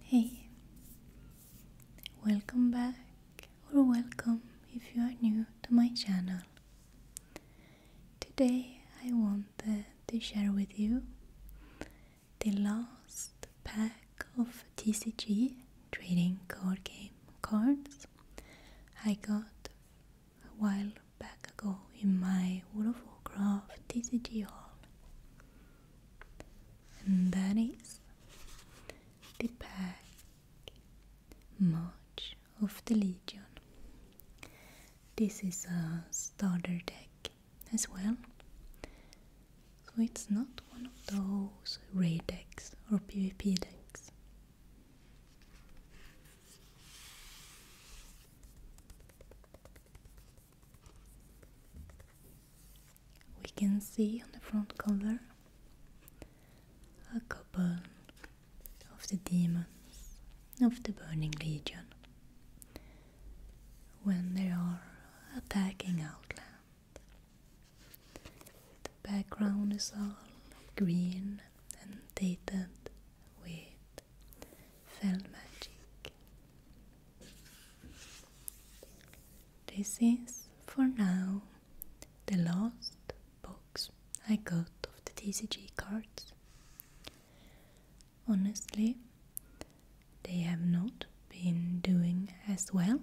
Hey, welcome back or welcome if you are new to my channel. Today I wanted to share with you the last pack of TCG trading card game cards I got a while back ago in my World of Warcraft TCG haul and that is the pack march of the legion this is a starter deck as well so it's not one of those raid decks or pvp decks we can see on the front cover a couple of the demons of the Burning Legion when they are attacking Outland. The background is all green and dated with Fell Magic. This is, for now, the last box I got of the TCG cards. Honestly, they have not been doing as well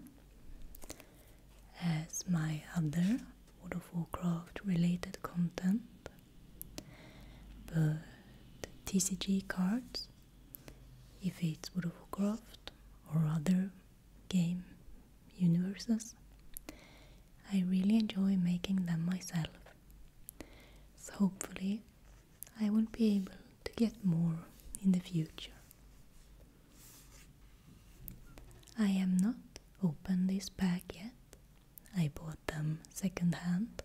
as my other World of related content, but TCG cards if it's World of Warcraft or other game universes. I really enjoy making them myself, so hopefully I will be able to get more in the future. I am not opened this pack yet. I bought them second hand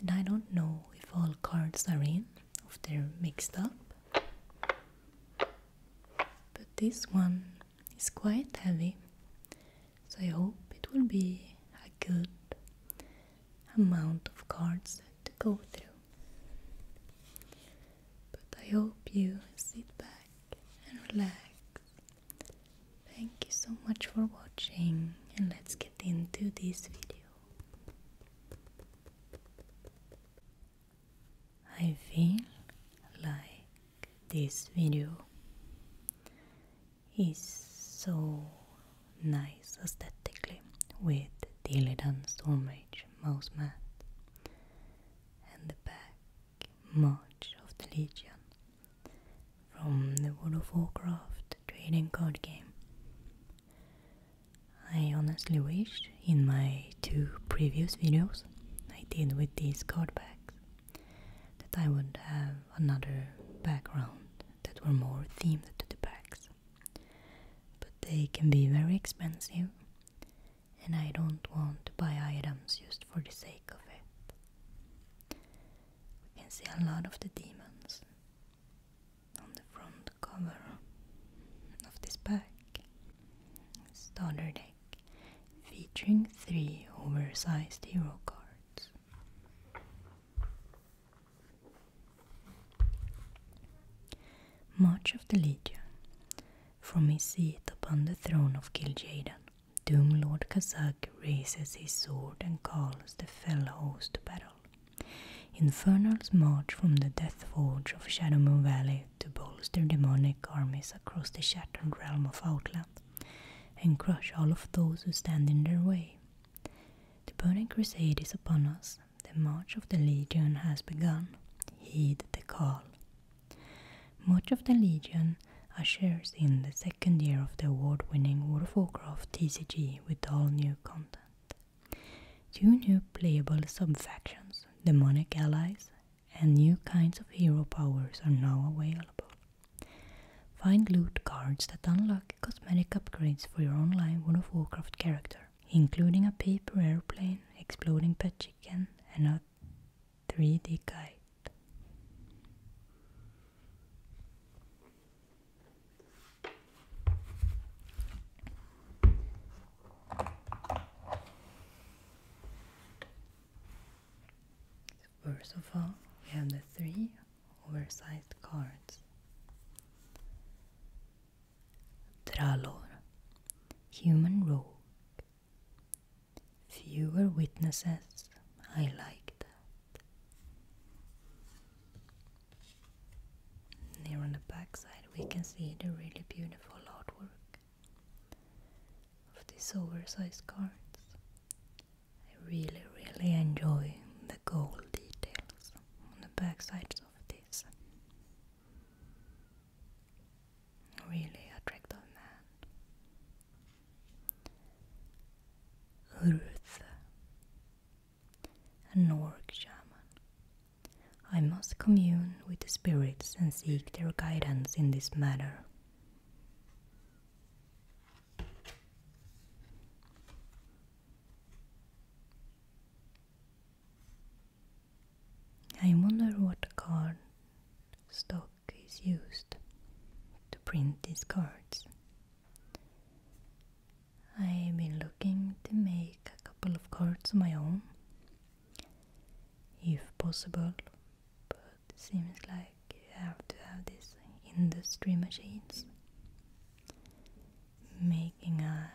and I don't know if all cards are in, if they're mixed up. But this one is quite heavy, so I hope it will be a good amount of cards to go through. But I hope you sit back and relax. Thank you so much for watching and let's get into this video. I feel like this video is so nice aesthetically with the Illidan Stormrage mouse mat and the back march of the Legion from the World of Warcraft trading card game I honestly wish in my two previous videos I did with these card backs that I would have another background that were more themed to the packs. But they can be very expensive and I don't want to buy items just for the sake of it. We can see a lot of the demons on the front cover of this pack. Starter deck featuring three oversized hero cards. March of the Legion. From his seat upon the throne of Kil'jaeden, Doom Lord Kazak raises his sword and calls the fell host to battle. Infernals march from the Death Forge of Shadowmoor Valley to bolster demonic armies across the shattered realm of Outland and crush all of those who stand in their way. The burning crusade is upon us, the march of the Legion has begun. Heed the call. Much of the Legion ushers in the second year of the award winning Warcraft TCG with all new content. Two new playable subfactions, demonic allies, and new kinds of hero powers are now available. Find loot cards that unlock cosmetic upgrades for your online World of Warcraft character, including a paper airplane, exploding pet chicken, and a 3D kite first of all, we have the three oversized cards. Tralor, human rogue. Fewer witnesses I liked. Here on the back side we can see the really beautiful artwork of these oversized cards. I really really enjoy the gold details on the back sides of this really attractive man. Ruth a Norg shaman. I must commune with the spirits and seek their guidance in this matter. I wonder what card stock is used to print these cards. I've been looking to make a couple of cards of my own, if possible, but it seems like you have to have these industry machines. Making a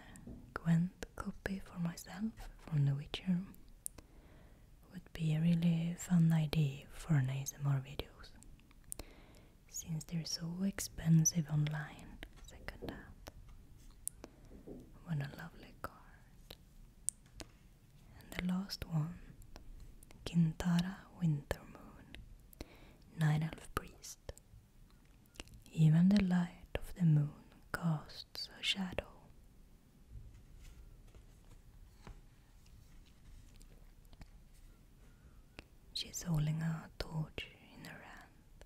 Gwent copy for myself from The Witcher would be a really fun idea for an ASMR videos since they're so expensive online. Second hand. What a lovely card. And the last one Kintara Wintermoon, Night Elf Priest. Even the light of the moon casts a shadow. She's holding a torch in her hand.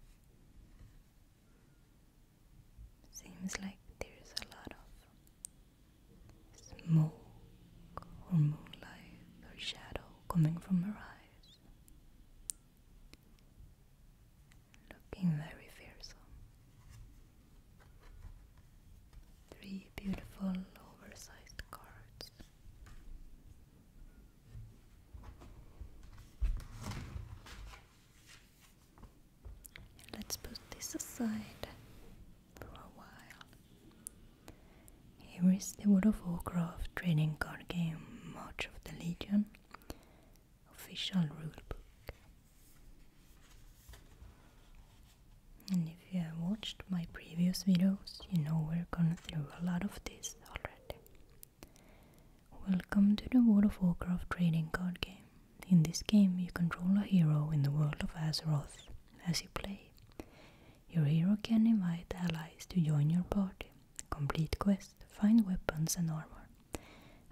Seems like there's a lot of smoke or moonlight or shadow coming from her eyes. Looking very fearsome. Three beautiful oversized cards. Let's put this aside for a while. Here is the World of Warcraft trading card game March of the Legion official rulebook. And if you have watched my previous videos, you know we're going through a lot of this already. Welcome to the World of Warcraft trading card game. In this game, you control a hero in the world of Azeroth as you play. Your hero can invite allies to join your party, complete quests, find weapons and armor,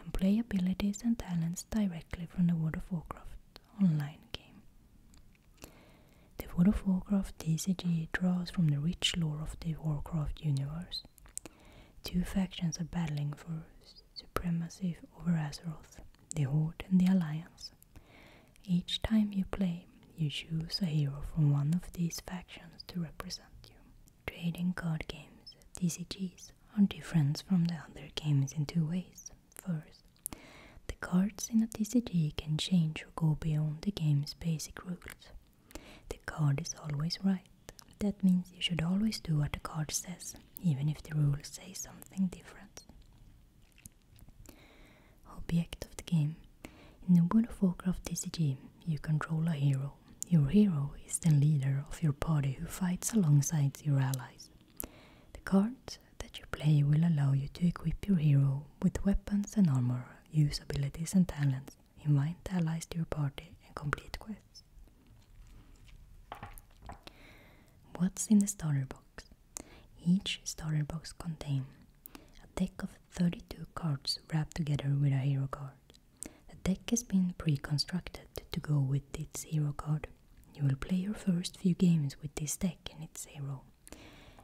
and play abilities and talents directly from the World of Warcraft online game. The World of Warcraft TCG draws from the rich lore of the Warcraft universe. Two factions are battling for supremacy over Azeroth, the Horde and the Alliance. Each time you play, you choose a hero from one of these factions to represent you. Trading card games, TCGs, are different from the other games in two ways. First, the cards in a TCG can change or go beyond the game's basic rules. The card is always right. That means you should always do what the card says, even if the rules say something different. Object of the game. In the board of Warcraft TCG, you control a hero. Your hero is the leader of your party who fights alongside your allies. The cards that you play will allow you to equip your hero with weapons and armor use abilities and talents, invite allies to your party, and complete quests. What's in the starter box? Each starter box contains a deck of 32 cards wrapped together with a hero card. The deck has been pre-constructed to go with its hero card. You will play your first few games with this deck and its hero.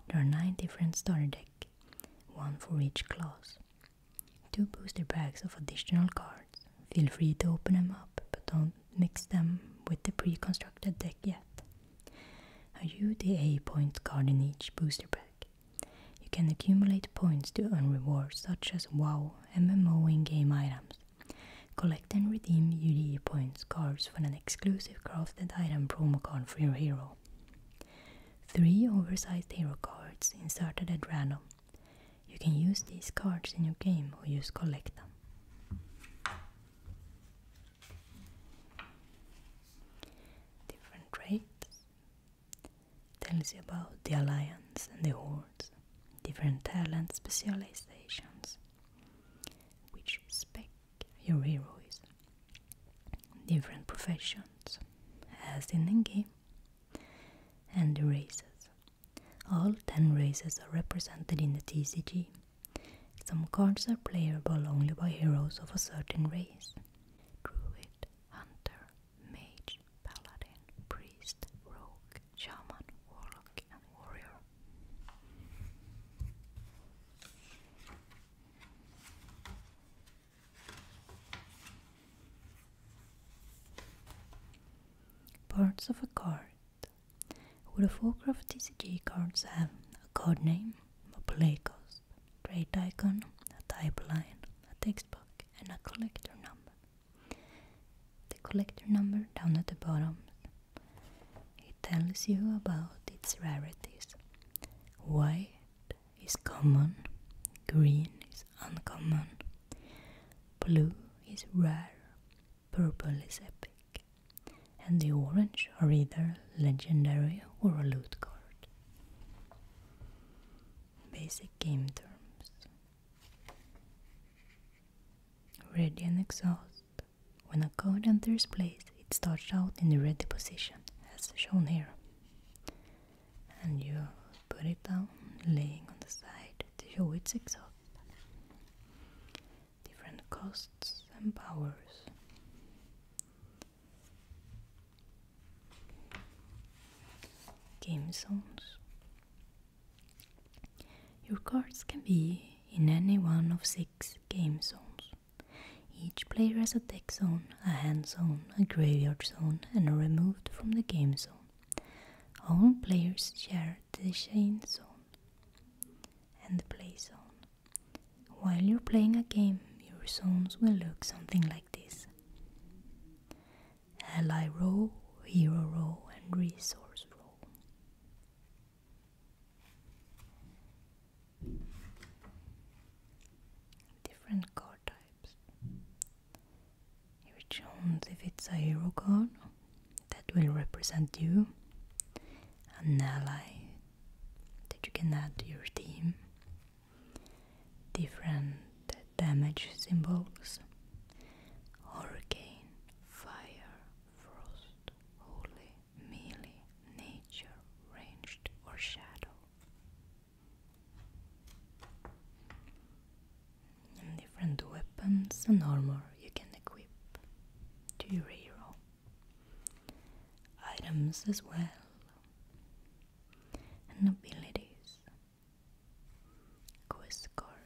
There are 9 different starter decks one for each class. Two booster packs of additional cards. Feel free to open them up, but don't mix them with the pre-constructed deck yet. A UDA point card in each booster pack. You can accumulate points to earn rewards such as WoW, MMO in-game items. Collect and redeem UDA points cards for an exclusive crafted item promo card for your hero. Three oversized hero cards inserted at random. You can use these cards in your game or just collect them. Different traits tells you about the alliance and the hordes, different talent specializations, which spec your hero different professions, as in Nengi, and the races. All 10 races are represented in the TCG. Some cards are playable only by heroes of a certain race. Druid, Hunter, Mage, Paladin, Priest, Rogue, Shaman, Warlock and Warrior. Parts of a card. World of Warcraft TCG cards have a card name, a play cost, trade icon, a type line, a text box, and a collector number. The collector number down at the bottom it tells you about its rarities. White is common, green is uncommon, blue is rare, purple is epic, and the orange are either legendary or a loot card. Basic game terms Radiant Exhaust. When a card enters play, it starts out in the ready position, as shown here and you put it down laying on the side to show its exhaust. Different costs and powers. Game zones. Your cards can be in any one of six game zones. Each player has a deck zone, a hand zone, a graveyard zone, and a removed from the game zone. All players share the chain zone and the play zone. While you're playing a game, your zones will look something like this. Ally row, hero row, and resource row. Different card types. You're if it's a hero card that will represent you, an ally that you can add to your team, different damage symbols. Hurricane, fire, frost, holy, melee, nature, ranged, or shadow and different weapons and armor you can equip to your hero. Items as well, and abilities, quest cards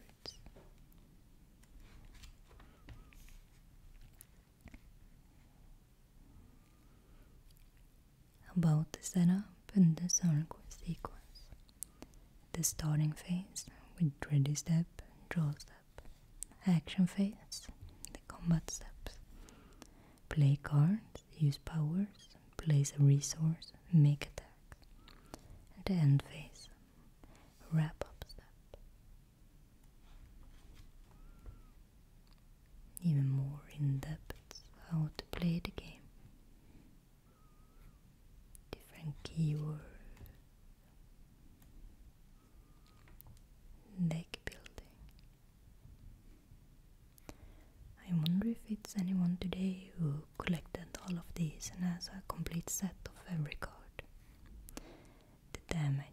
about the setup and the sequence. The starting phase with ready d step, draw step, action phase, the combat steps. Play cards, use powers, place a resource, make attack. the end phase, wrap up step even more in depth how to play the game. Different keywords, deck building. I wonder if it's anyone today who collected all of these and has a complete set of every card. The damage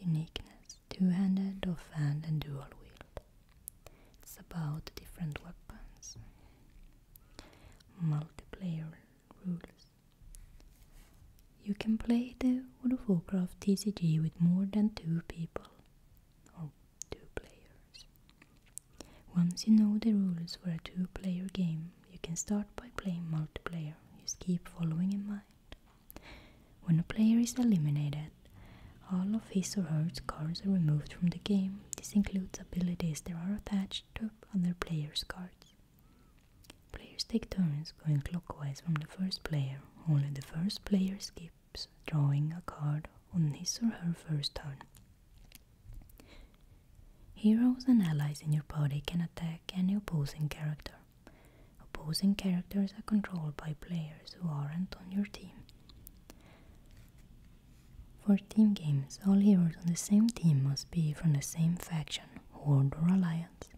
Uniqueness two-handed, off-hand and dual-wield. It's about different weapons. Multiplayer rules. You can play the World of Warcraft TCG with more than two people or two players. Once you know the rules for a two-player game, you can start by playing multiplayer. Just keep following in mind when a player is eliminated, all of his or her cards are removed from the game. This includes abilities that are attached to other players' cards. Players take turns going clockwise from the first player. Only the first player skips drawing a card on his or her first turn. Heroes and allies in your party can attack any opposing character. Opposing characters are controlled by players who aren't on your team. For team games, all heroes on the same team must be from the same faction, horde or alliance.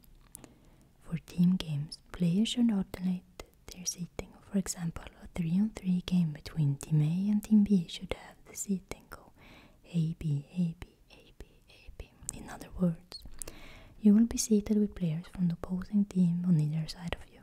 For team games, players should alternate their seating. For example, a 3 on 3 game between Team A and Team B should have the seating go A, B, A, B, A, B. In other words, you will be seated with players from the opposing team on either side of you.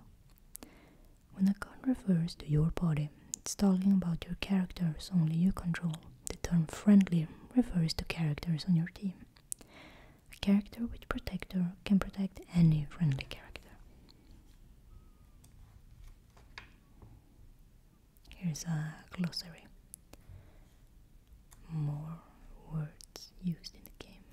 When a card refers to your body, it's talking about your characters only you control. The term friendly refers to characters on your team. A character with protector can protect any friendly character. Here's a glossary more words used in the game.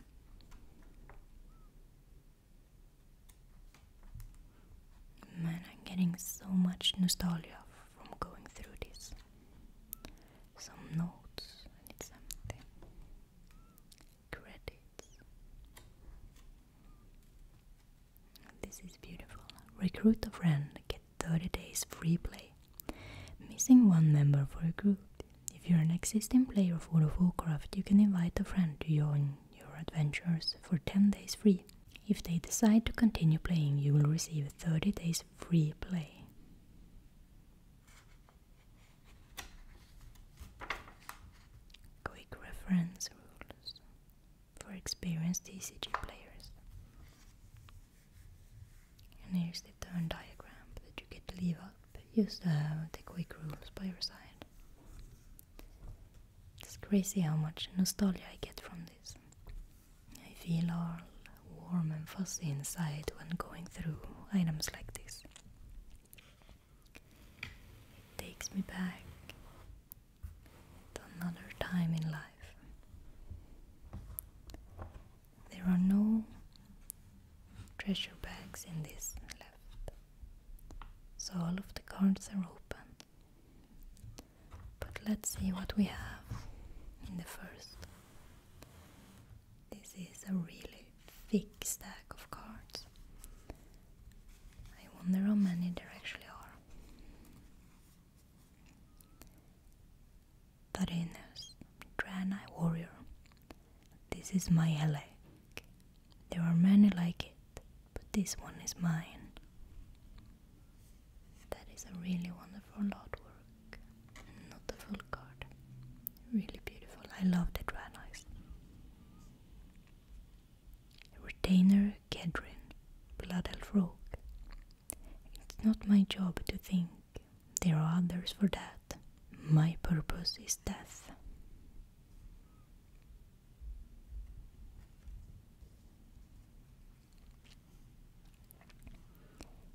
Man, I'm getting so much nostalgia from going through this. Some notes, I need something. Credits. This is beautiful. Recruit a friend, get 30 days free play. Missing one member for a group. If you're an existing player of World of Warcraft, you can invite a friend to join your adventures for 10 days free. If they decide to continue playing, you will receive 30 days free play. Quick reference rules for experienced TCG players. And here's the turn diagram that you get to leave up. Use the, the quick rules by your side. It's crazy how much nostalgia I get from this. I feel all warm and fuzzy inside when going through items like this. It takes me back to another time in life. There are no treasure bags in this left, so all of the cards are open. But let's see what we have in the first. This is a really thick stack of cards. I wonder how many there actually are. Tarenas, Drana warrior. This is my Helek. There are many like it, but this one is mine. That is a really wonderful artwork. Not a full card. Really beautiful. I love the Dranas. Retainer Kedrin, Blood Elf Rogue. It's not my job to think there are others for that. My purpose is death.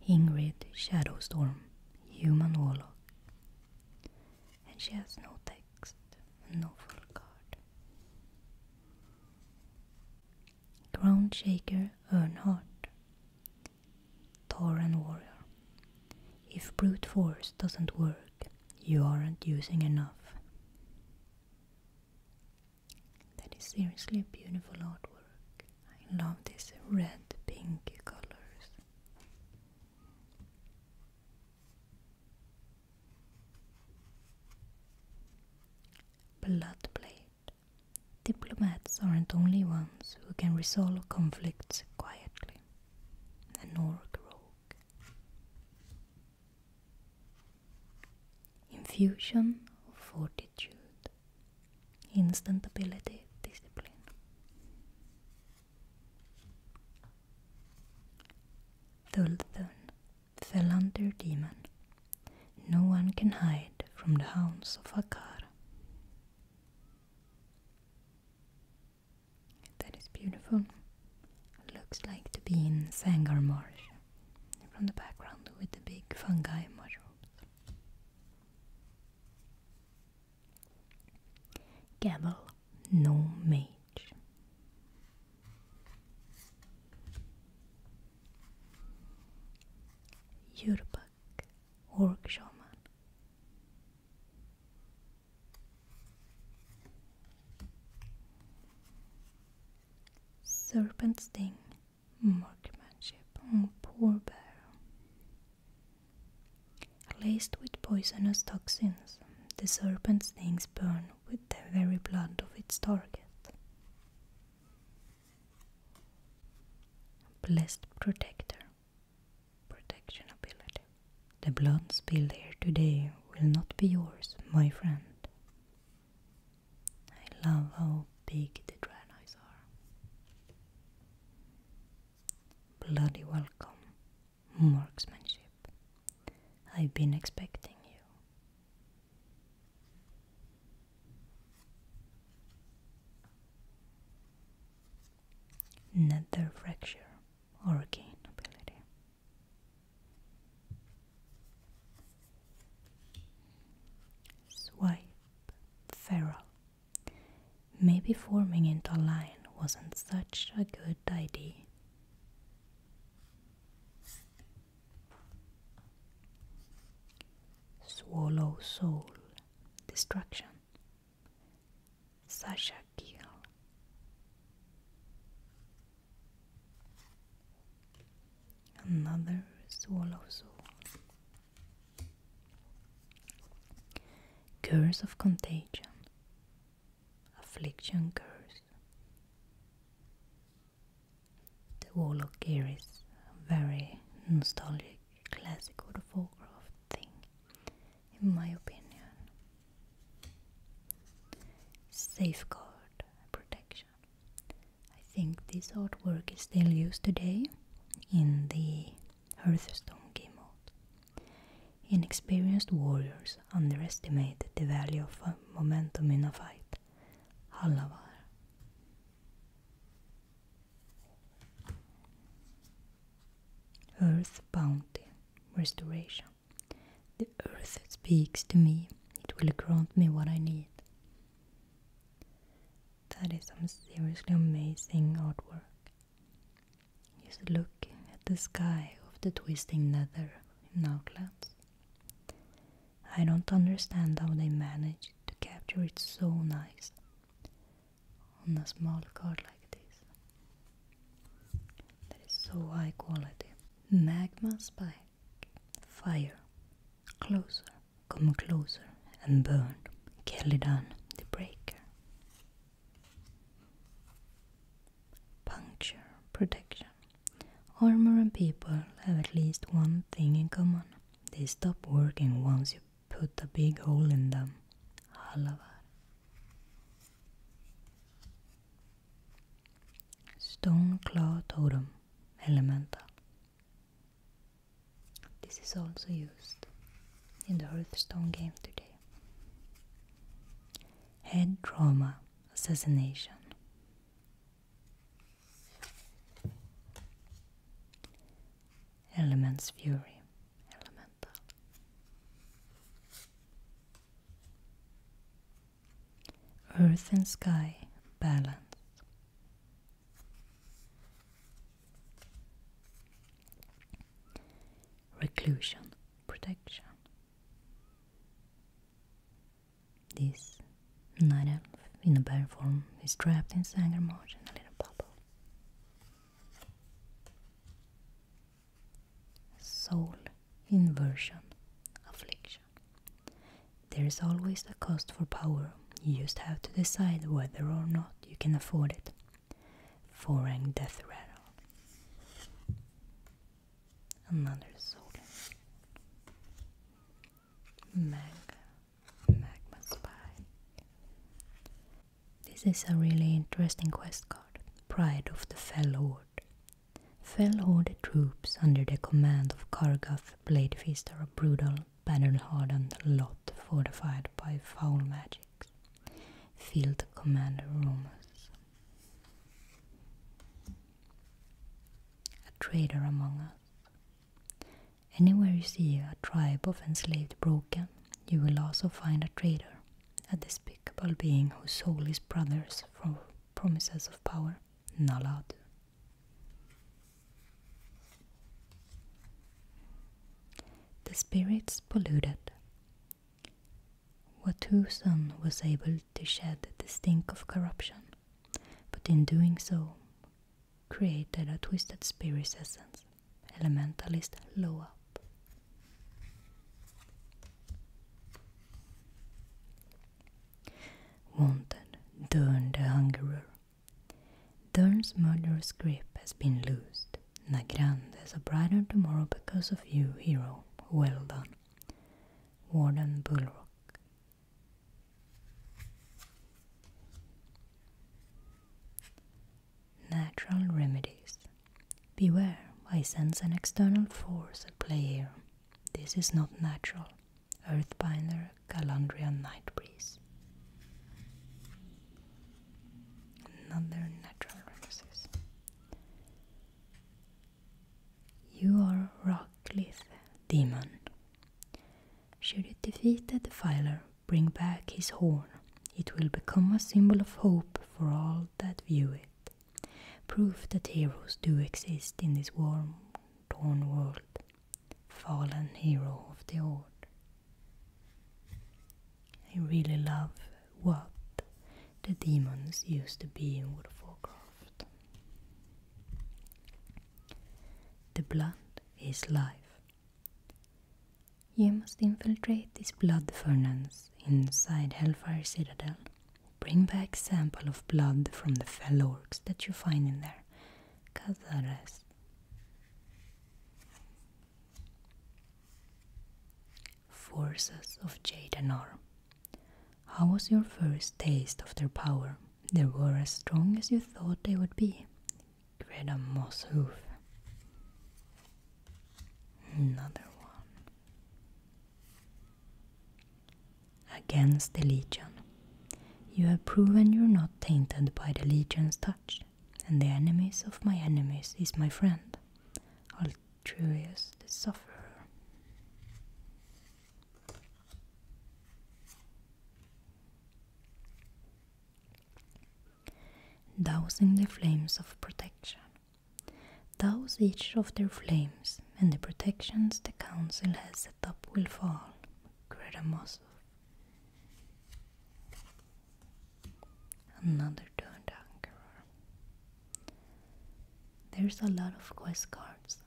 Ingrid Shadowstorm, Human Warlock. And she has no text, no full card. Ground Shaker Earnhardt, Tauren warrior. If brute force doesn't work, you aren't using enough. That is seriously beautiful artwork. I love these red pink colors. Blood blade. Diplomats aren't only ones who can resolve conflicts quietly, and nor rogue. Infusion of fortitude, instant ability, discipline. Thulthun fell under demon. No one can hide from the hounds of Akkar. That is beautiful. looks like to be in Sanger Marsh from the background with the big fungi mushrooms. Gavel, no mage. Yurbak, orc shaman. Serpent sting, marksmanship, oh, poor bear. Laced with poisonous toxins, the serpent stings burn with the very blood of its target. Blessed Protector Protection ability. The blood spilled here today will not be yours, my friend. I love how big the dragon eyes are. Bloody welcome, marksmanship. I've been expecting you. Nether Fracture, Arcane ability. Swipe, Feral. Maybe forming into a line wasn't such a good idea. Swallow Soul, Destruction Sasha Gill Another Swallow Soul Curse of Contagion Affliction Curse The Warlock here is very nostalgic classic or folk craft thing, in my opinion. Safeguard protection. I think this artwork is still used today in the Hearthstone game mode. Inexperienced warriors underestimated the value of uh, momentum in a fight. Halavar. Earth Bounty Restoration. The earth speaks to me, it will grant me what I need. That is some seriously amazing artwork. You should look at the sky of the twisting nether in Outlands. I don't understand how they managed to capture it so nice on a small card like this. That is so high quality. Magma spike. Fire. Closer. Come closer and burn. Celidan the breaker. Puncture. Protection. Armor and people have at least one thing in common. They stop working once you Put a big hole in them. Halavar. Stone Claw Totem Elemental. This is also used in the Hearthstone game today. Head Trauma Assassination. Elements Fury, Elemental. Earth and Sky, Balance. Reclusion, Protection. This night elf in a bear form is trapped in Sanger mode in a little bubble. Soul inversion affliction. There is always a cost for power. You just have to decide whether or not you can afford it. Foreign death rattle. Another soul. Mag Magma Spike. This is a really interesting quest card. Pride of the Fell Horde. Fell Horde troops under the command of Kargath, Bladefeast a brutal, battle-hardened lot fortified by foul magics. Field Commander Romans. A traitor among us. Anywhere you see a tribe of enslaved Broken, you will also find a traitor, a despicable being whose soul is brothers for promises of power. Naladu. The spirits polluted. Sun was able to shed the stink of corruption, but in doing so, created a twisted spirit essence, elementalist low up. Wanted, Dern the Hungerer. Dern's murderous grip has been loosed. Nagrand has a brighter tomorrow because of you, hero. Well done. Warden Bullrock. Natural remedies. Beware, I sense an external force at play here. This is not natural. Earthbinder Calandria Night Breeze. Another natural remedies. You are Rockcliffe Demon. Should it defeat the defiler, bring back his horn. It will become a symbol of hope for all that view it. Proof that heroes do exist in this warm, torn world. Fallen hero of the Horde. I really love what the demons used to be in World of Warcraft. The blood is life. You must infiltrate this blood furnace inside Hellfire Citadel. Bring back sample of blood from the fellow orcs that you find in there. Cazares. Forces of Jadenor. How was your first taste of their power? They were as strong as you thought they would be. Get a moss Another one. Against the legion. You have proven you're not tainted by the legion's touch, and the enemies of my enemies is my friend, Altruius the sufferer dousing the flames of protection. Douse each of their flames, and the protections the council has set up will fall. Kredamosov. Another turned anchorer. There's a lot of quest cards.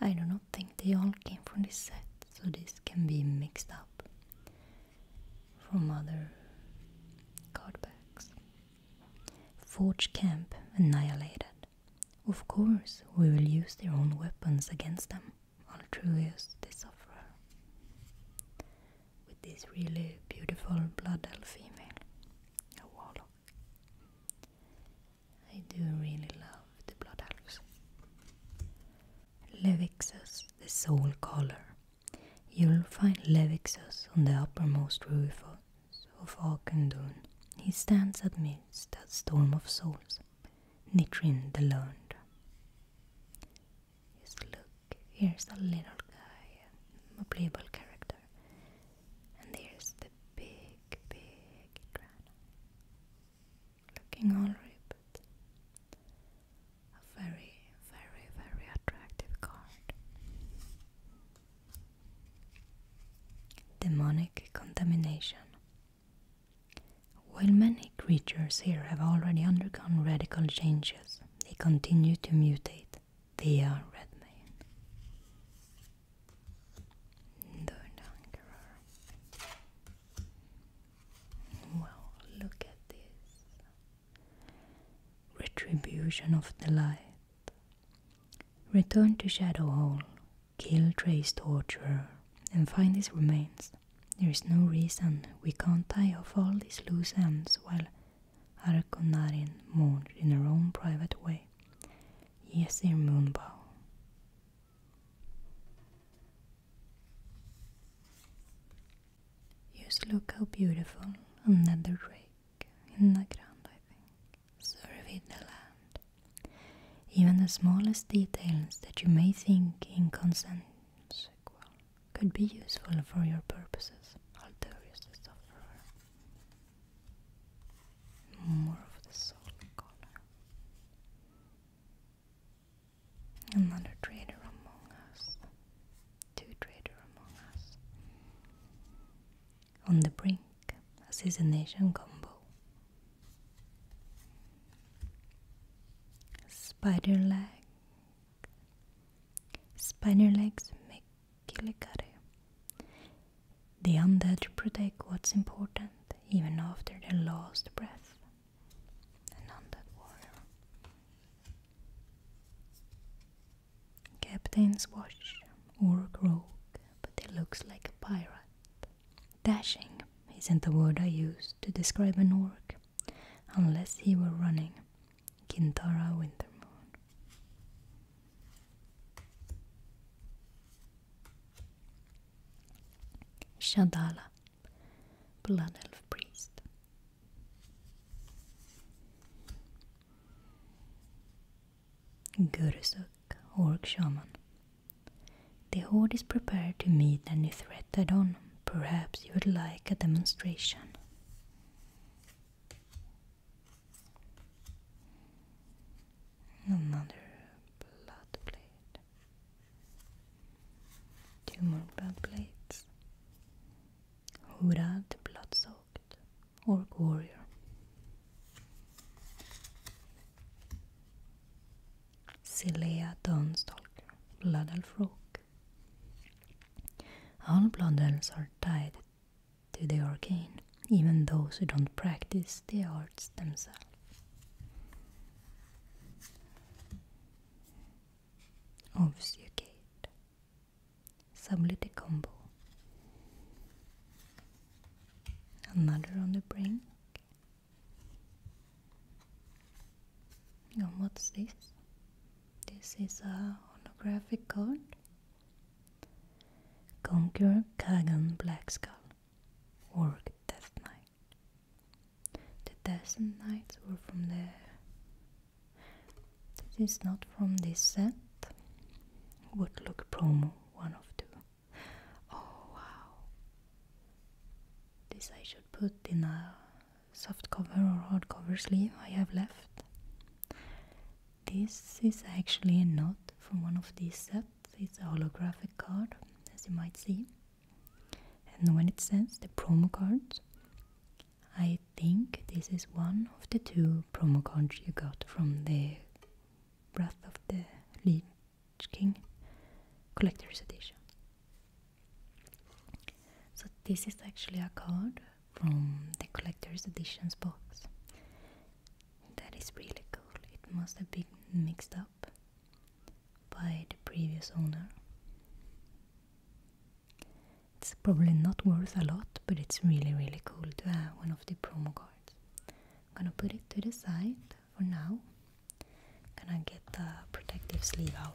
I do not think they all came from this set, so this can be mixed up from other card backs. Forge Camp annihilated. Of course, we will use their own weapons against them. Altruius they suffer. With this really beautiful Blood Elf female, a warlock. I do really love the Blood Elves. Levixus the soul collar. You'll find Levixus on the uppermost roof of Akendun. He stands amidst that storm of souls, Nitrin the land. Just look, here's a little guy, a playable character. And there's the big, big Drana looking all ripped. A very, very, very attractive card. Demonic contamination. While many creatures here have already undergone radical changes, they continue to mutate. They are Redmayne. Wow, look at this Retribution of the Light. Return to Shadow Hall, kill Trace torturer, and find his remains. There is no reason we can't tie off all these loose ends while Arkonarin mourned in her own private way. Yes, dear Moonbow. Just look how beautiful another rake in the ground, I think. Survey the land. Even the smallest details that you may think inconsequential could be useful for your purposes. Alterius the sufferer. More of the soul color. Another traitor among us, two traitors among us. On the brink, assassination combo. Spider legs. spider legs make kilikare. The undead protect what's important even after their last breath. Captains watch Uruk rogue, but he looks like a pirate. Dashing isn't the word I use to describe an orc, unless he were running Kintara Wintermoon. Shadala Blood Elf Priest. Gurusuk, Orc Shaman. The Horde is prepared to meet any threat head on. Perhaps you would like a demonstration. Another blood blade. Two more belt blades. Hurad, blood-soaked, or warrior. Silea Dawnstalker, Blood Elf rogue. All Blood Elves are tied to the arcane, even those who don't practice the arts themselves your avsugate some little combo another on the brink and what's this? this is a holographic card Conquer Kagan Black Skull Orc Death Knight the Dazen Knights were from there. This is not from this set. What look promo, one of two. Oh wow! This I should put in a soft cover or hard cover sleeve I have left. This is actually not from one of these sets, it's a holographic card, as you might see. And when it says the promo cards, I think this is one of the two promo cards you got from the Breath of the Lich King Collector's Edition. So, this is actually a card from the Collector's Editions box. That is really cool. It must have been mixed up by the previous owner. It's probably not worth a lot, but it's really, really cool to have one of the promo cards. I'm gonna put it to the side for now. I'm gonna get the protective sleeve out.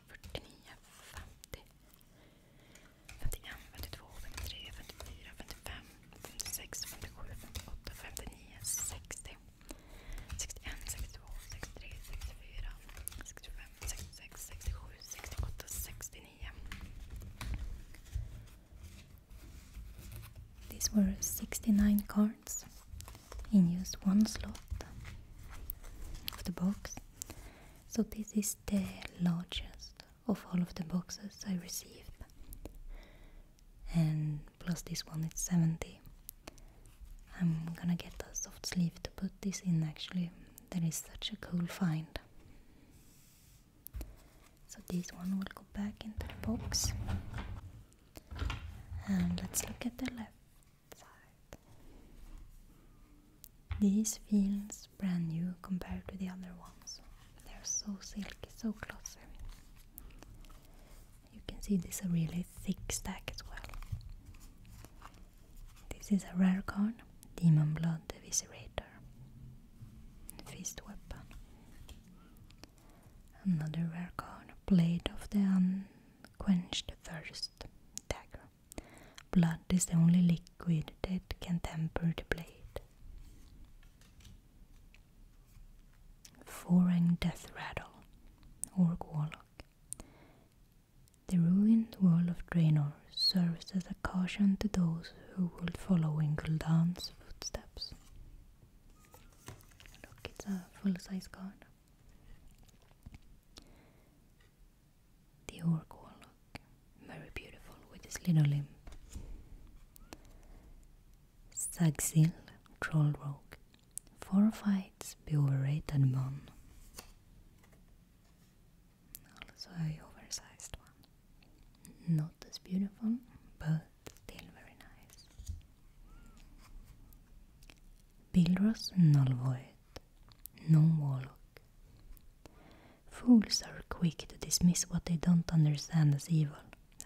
49, These were 69 cards in just one slot of the box. So this is the largest of all of the boxes I received. And plus this one is 70. I'm gonna get a soft sleeve to put this in actually. That is such a cool find. So this one will go back into the box. And let's look at the left this feels brand new compared to the other ones. They're so silky, so close. You can see this is a really thick stack as well. This is a rare card, Demon Blood Eviscerator. Fist Weapon. Another rare card, Blade of the Un quench the thirst. Dagger. Blood is the only liquid that can temper the blade. Foreign Death Rattle, Orc Warlock. The ruined world of Draenor serves as a caution to those who would follow in Gul'dan's footsteps. Look, it's a full-size card. The orc warlock, very beautiful with his little limb. Sagzil, troll rogue, four fights, be overrate and bon. Also a oversized one. Not as beautiful, but still very nice. Bilros nullvoid, non warlock. Fools are quick to dismiss what they don't understand as evil.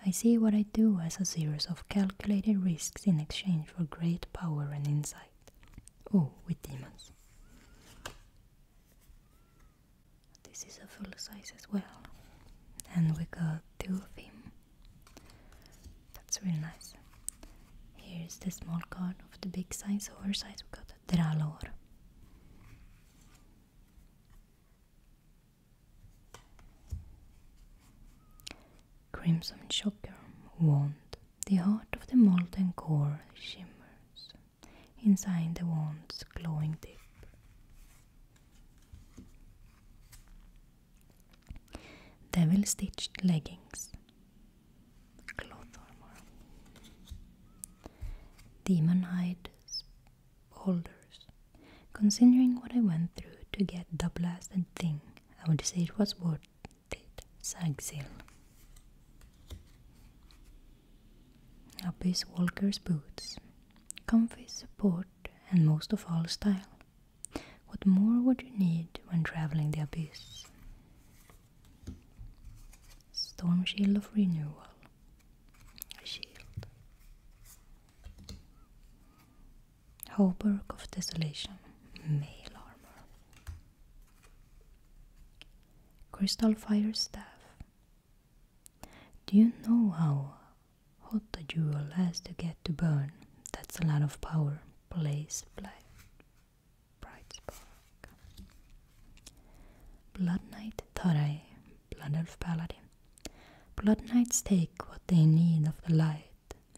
I see what I do as a series of calculated risks in exchange for great power and insight. Oh, with demons. This is a full size as well. And we got two of him. That's really nice. Here's the small card of the big size, oversized. We got the Dralor. Crimson Shocker Wand. The heart of the molten core shimmers inside the wand's glowing tip. Devil Stitched Leggings Cloth Armor Demon hides, Boulders Considering what I went through to get the blasted thing, I would say it was worth it. Sagzil Abyss Walker's Boots Comfy, support, and most of all style what more would you need when traveling the abyss? Storm Shield of Renewal. A shield. Hauberk of Desolation. Mail armor. Crystal Fire Staff. Do you know how hot a jewel has to get to burn? That's a lot of power. Blaze, fly bright Blood Knight thought I Blood Elf Paladin. Blood Knights take what they need of the light,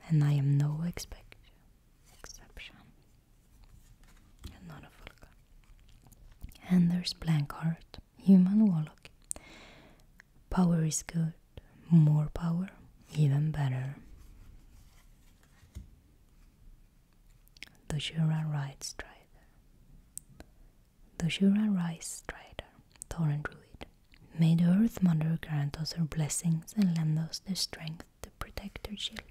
and I am no exception. And not a full And there's Blankheart, Human Warlock. Power is good, more power, even better. The Jura Right Strider. The Jura Right Strider, Thorin Druid. May the Earth Mother grant us her blessings and lend us the strength to protect her children.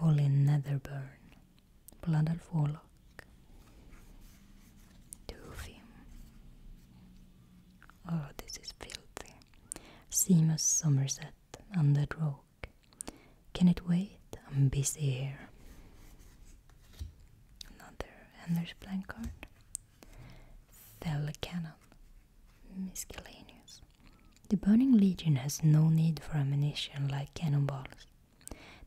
Volin Netherburn, Blood at Warlock talk to Oh, this is filthy. Seamus Somerset, on that rock. Can it wait? I'm busy here. Another Anders Blank card. Fell cannon. Miscellaneous. The Burning Legion has no need for ammunition like cannonballs.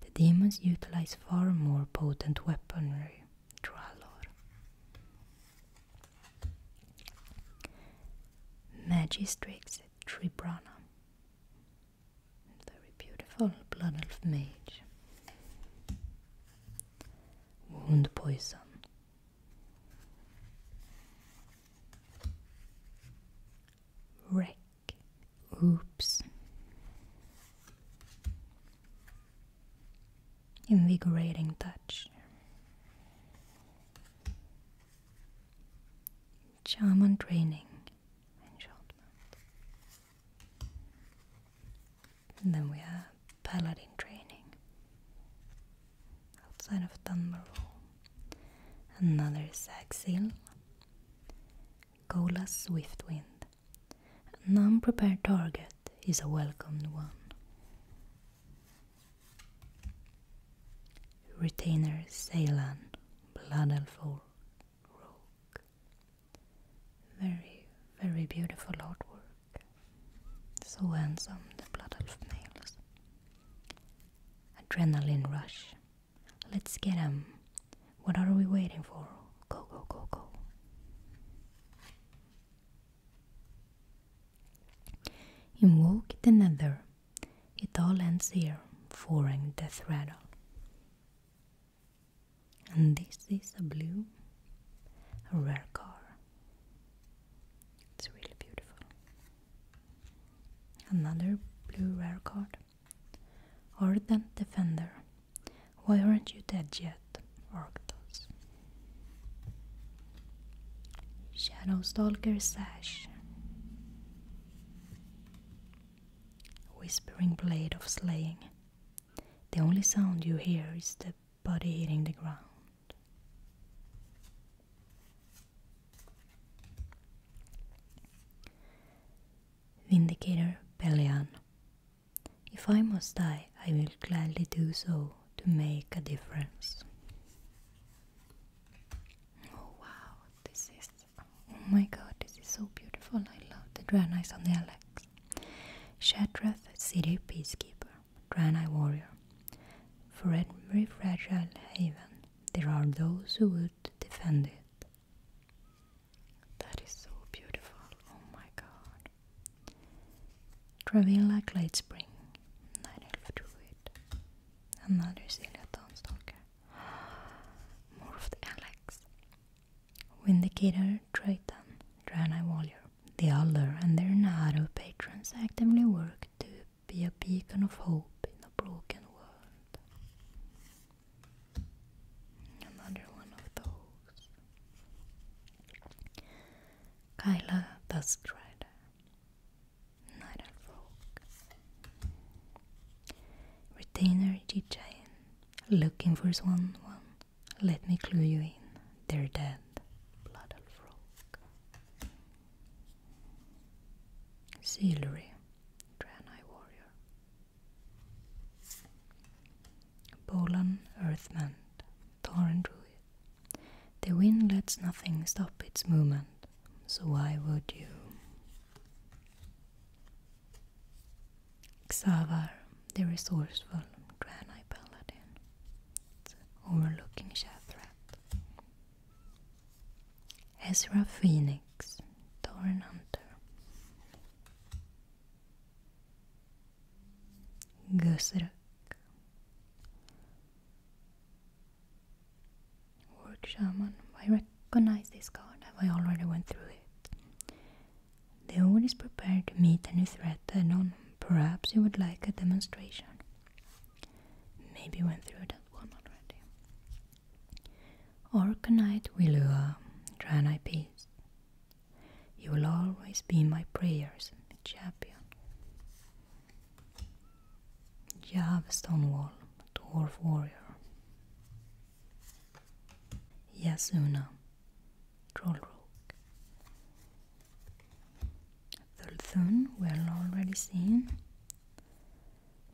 The demons utilize far more potent weaponry, Dralor. Magistrix Tribrana. Very beautiful blood elf mage. Wound poison. Wreck. Oops invigorating touch. charm and training enchantment. then we have paladin training outside of Dunmoral. Another Saxil, Golas Swiftwind, an unprepared target is a welcomed one. Retainer Ceylan, Blood Elf Rogue. Very, very beautiful artwork. So handsome, the Blood Elf males. Adrenaline Rush. Let's get him. What are we waiting for? Go, go, go, go. Invoke the nether. It all ends here, foreign death rattle. And this is a blue, a rare car. It's really beautiful. Another blue rare card. Ardent Defender. Why aren't you dead yet, Arctos? Shadow's dagger Sash Whispering Blade of Slaying The only sound you hear is the body hitting the ground. Vindicator Pelion if I must die, I will gladly do so to make a difference. Oh wow, this is. Oh my god, this is so beautiful. I love the eyes on the Alex. Shatrath, city peacekeeper, Eye warrior. For every fragile haven, there are those who would defend it. That is so beautiful. Oh my god. Traveling like late spring. Night elf druid. Another Celia Dawnstalker. Morphed Alex. Vindicator Triton. Draenei Warrior. The Elder and their Naru patrons actively work to be a beacon of hope in a broken world. Another one of those. Kyla the Strider, Night and Frog, Retainer Gigian, looking for Swan One. Let me clue you in. They're dead. Blood and Frog. Sealery, Draenei Warrior, Bolan Earthman, Thorin Druid. The wind lets nothing stop its movement, so why would you? Xavar, the resourceful Granite Paladin, overlooking Shathrat. Ezra Phoenix, Thorin Hunter. Gösrök Work Shaman. I recognize this card. I already went through it. The Old is prepared to meet a new threat head on. Perhaps you would like a demonstration. Maybe went through that one already. Try Willua, Draenei Peace. You will always be my prayers, champion. Jav Stonewall, Dwarf Warrior. Yasuna, Troll Rook. Thulthun, we're already seen.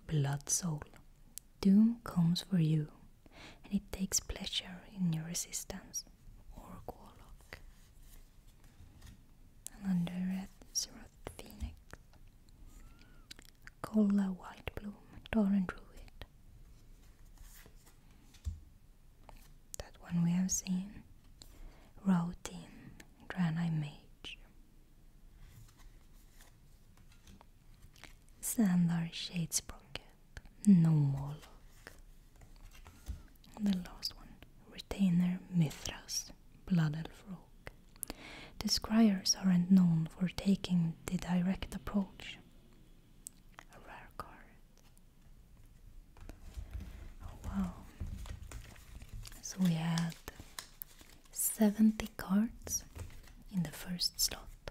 Blood Soul, Doom comes for you, and it takes pleasure in your resistance or warlock. And under it is Rot Phoenix, Cola White Bloom, Torrent Druid. That one we have seen. Routing, Granite Mage. Sandar Shadesbroker no more luck. The last one, retainer Mithras, blood elf rogue. The scribes aren't known for taking the direct approach. A rare card. Oh, wow. So we had 70 cards in the first stop.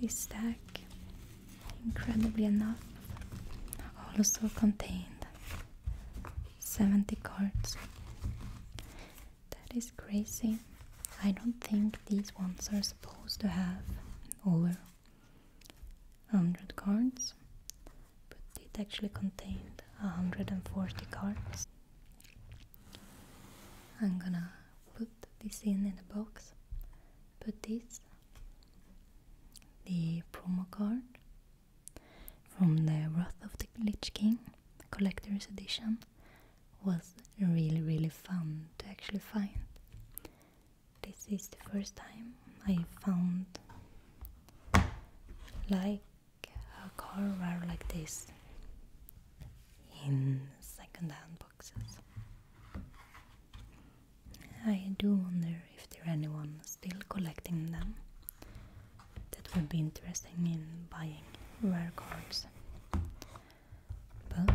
This stack, incredibly enough, also contained 70 cards. That is crazy. I don't think these ones are supposed to have over 100 cards, but it actually contained 140 cards. I'm gonna put this in in a box. Put this, the promo card from the Wrath of the Lich King collector's edition was really really fun to actually find. This is the first time I found like a car rare like this in second-hand boxes. I do wonder if there anyone still collecting them. That would be interested in buying rare cards. But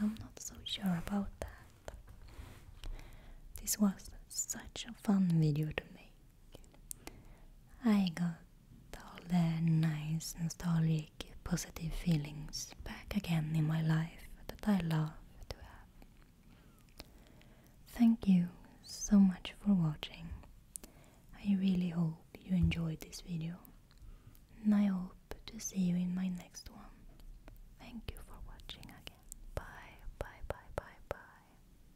I'm not so sure about that. This was such a fun video to make. I got all the nice, nostalgic, positive feelings back again in my life that I love to have. Thank you so much for watching. I really hope you enjoyed this video and I hope to see you in my next one. Thank you for watching again. Bye, bye, bye, bye, bye.